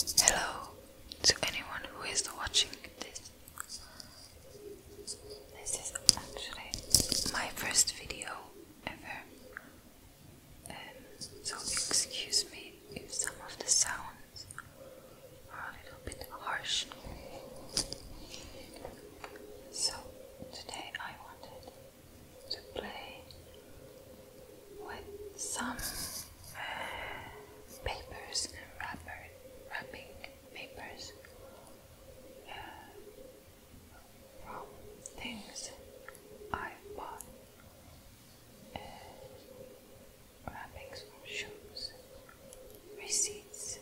Hello to anyone who is watching this. This is actually my first video ever, um, so excuse me if some of the sounds are a little bit harsh. So, today I wanted to play with some uh, papers and wrapper, wrapping papers uh, from things I bought. Uh, wrappings shoes, receipts,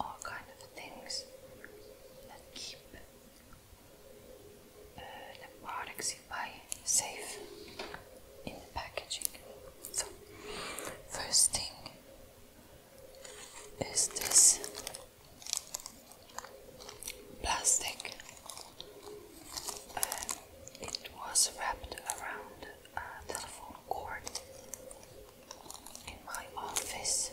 all kind of things that keep uh, the products you buy safe in the packaging. So, first thing is this plastic. Um, it was wrapped around a telephone cord in my office.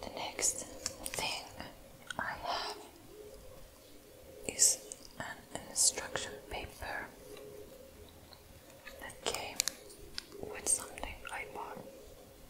The next thing I have is an instruction paper that came with something I bought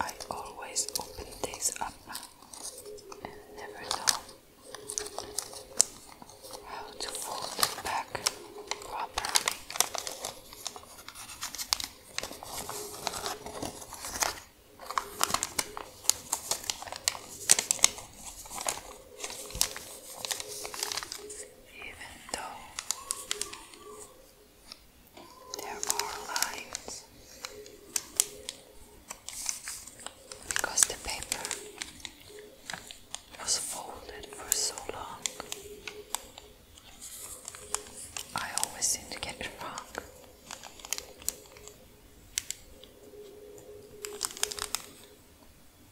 I always open these up and never know how to fold them back properly even though there are lines because the paper was folded for so long. I always seem to get wrong.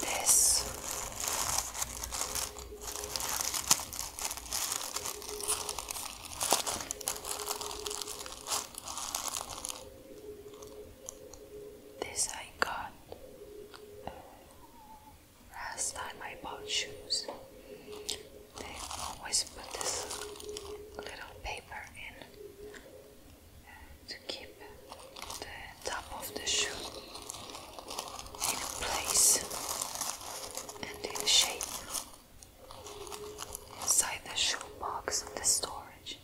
this. This I got uh, last time I bought shoes. They always put this little paper in to keep the top of the shoe in place and in shape inside the shoe box of the storage.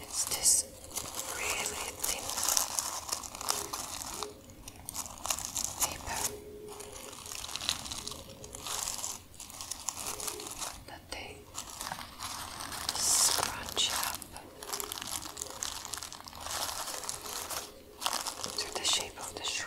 It's this really thin Paper. That they scrunch up to the shape of the shoe.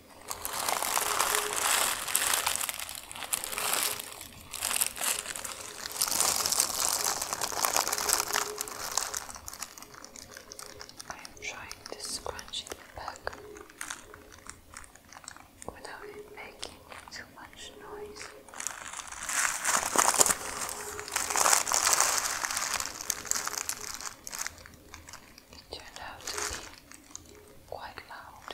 I am trying to scrunch it back without it making too much noise. It turned out to be quite loud.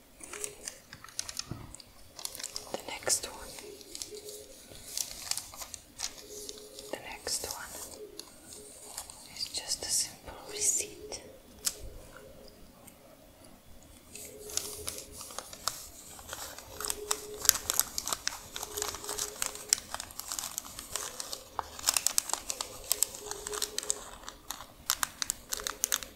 The next one. The next one is just a simple receipt.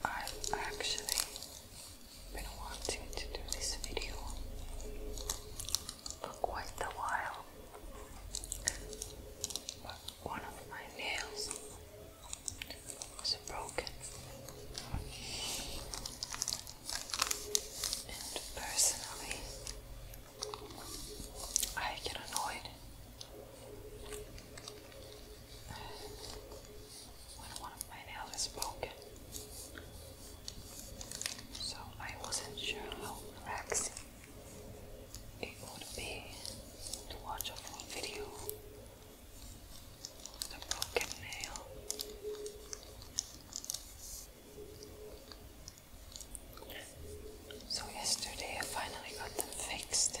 I've actually been wanting to do this video for quite a while, but one of my nails was broken. And personally, I get annoyed when one of my nails is broken. So I wasn't sure how relaxing it would be to watch a video of a broken nail. So yesterday I finally got them fixed.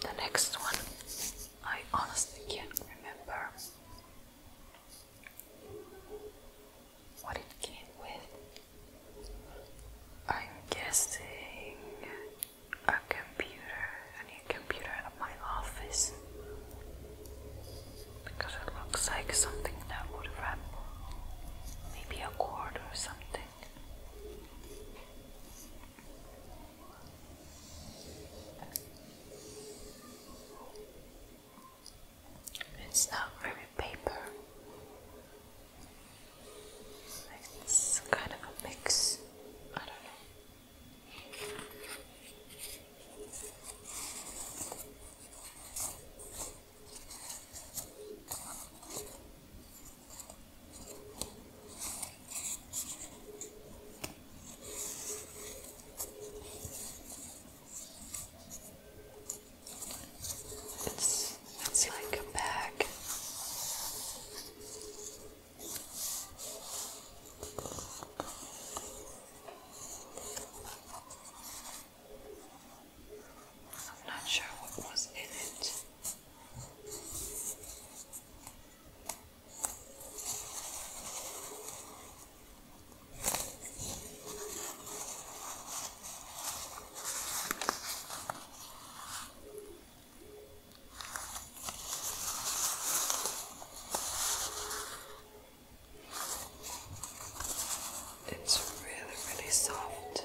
the next one I honestly can't remember what it came with. I'm guessing a computer, a new computer at my office. Because it looks like something that would wrap maybe a cord or something. It's not very paper. It's kind of a mix. I don't know. It's, it's like a bag. I'm not sure what was in it. It's really, really soft.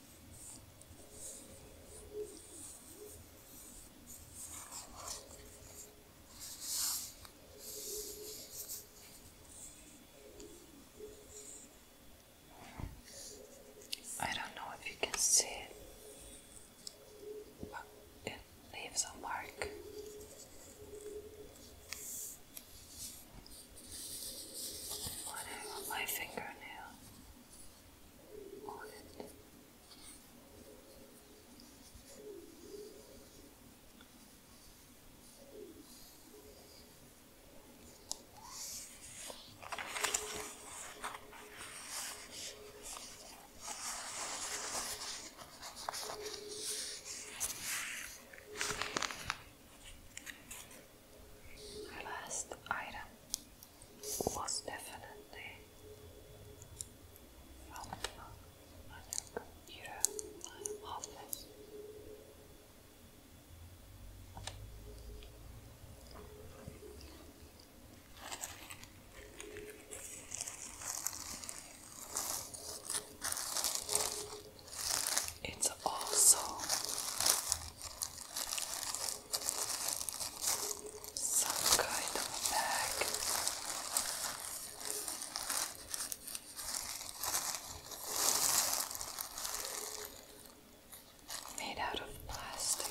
I don't know if you can see it, but it leaves a mark running on my fingernail on it. The last item was definitely from another computer office. It's also some kind of bag. Made out of plastic.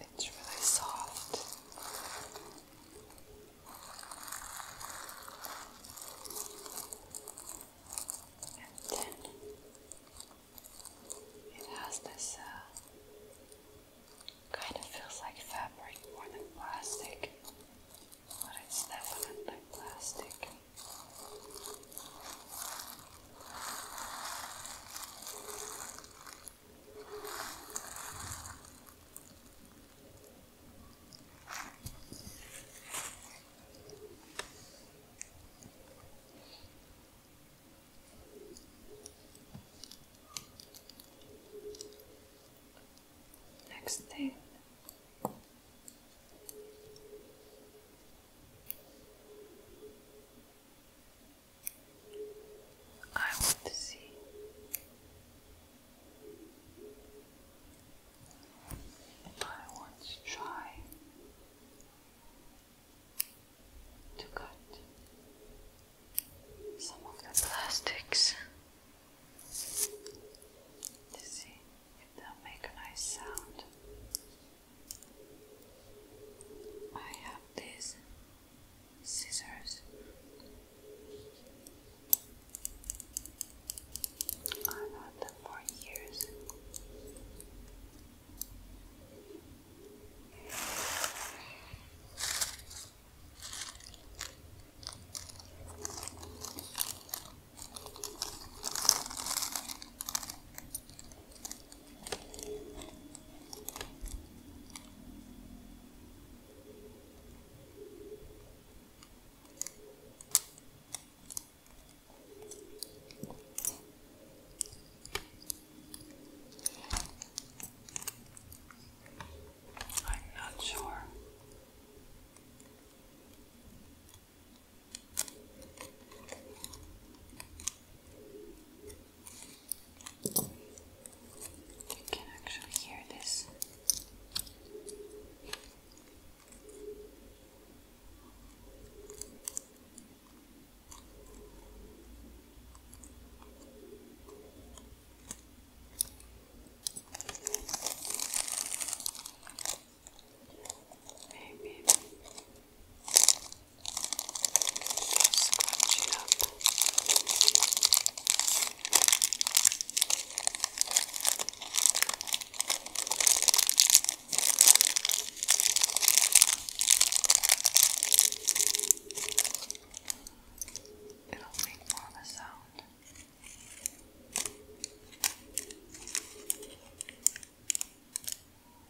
It's really soft. And then it has this uh, kind of feels like fabric more than plastic, but it's definitely plastic. Next thing. I want to see if I want to try to cut some of the plastics to see if they'll make a nice sound. I have these scissors. I've had them for years. I'm not sure you can actually hear this. Maybe Scrunch it up. It'll make more of a sound.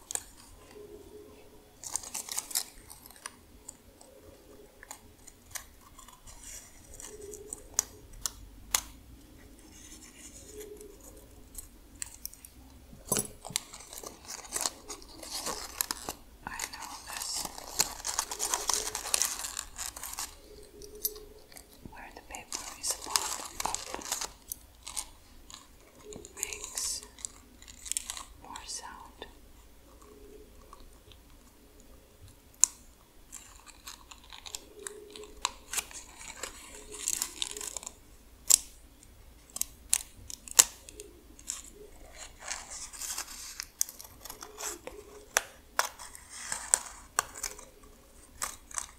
I know this where the paper is bought up makes more sound.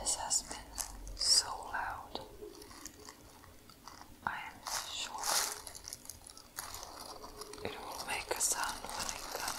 This has been so loud. I am sure it will make a sound when it comes.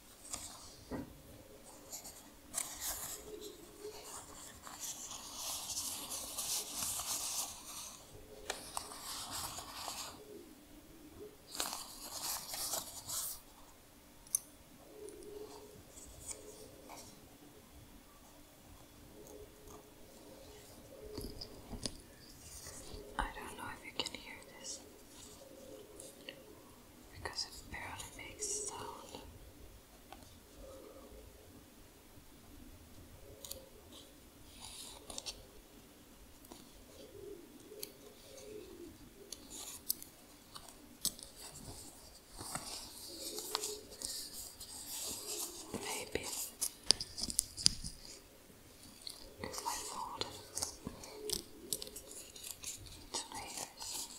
I don't know if you can hear this because it barely makes sound. Maybe if I fold it to layers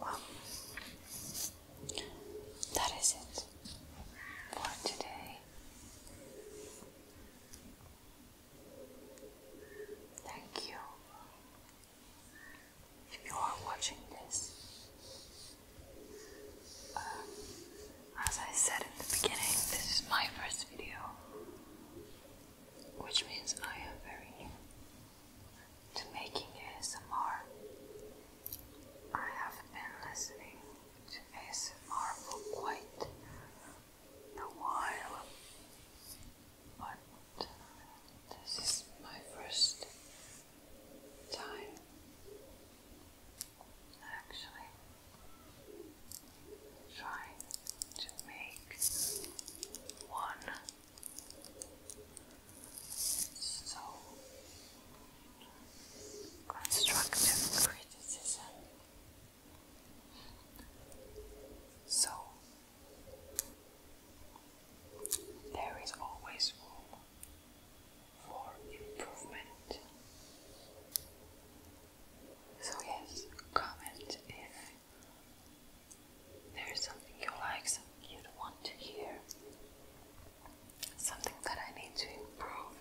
Well, that is it for today. Thank you. If you are watching this, uh, as I said in the beginning, this is my first video, which means I am very new to making ASMR. I have been listening to ASMR for quite a while, but uh, this is my first time actually trying to make one so constructive criticism. So there is always room for improvement. So yes, comment if there's something you like, something you want to hear, something that I need to improve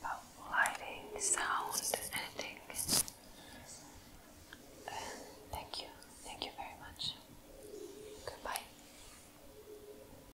about lighting, sound, anything. thank you, thank you very much. Goodbye.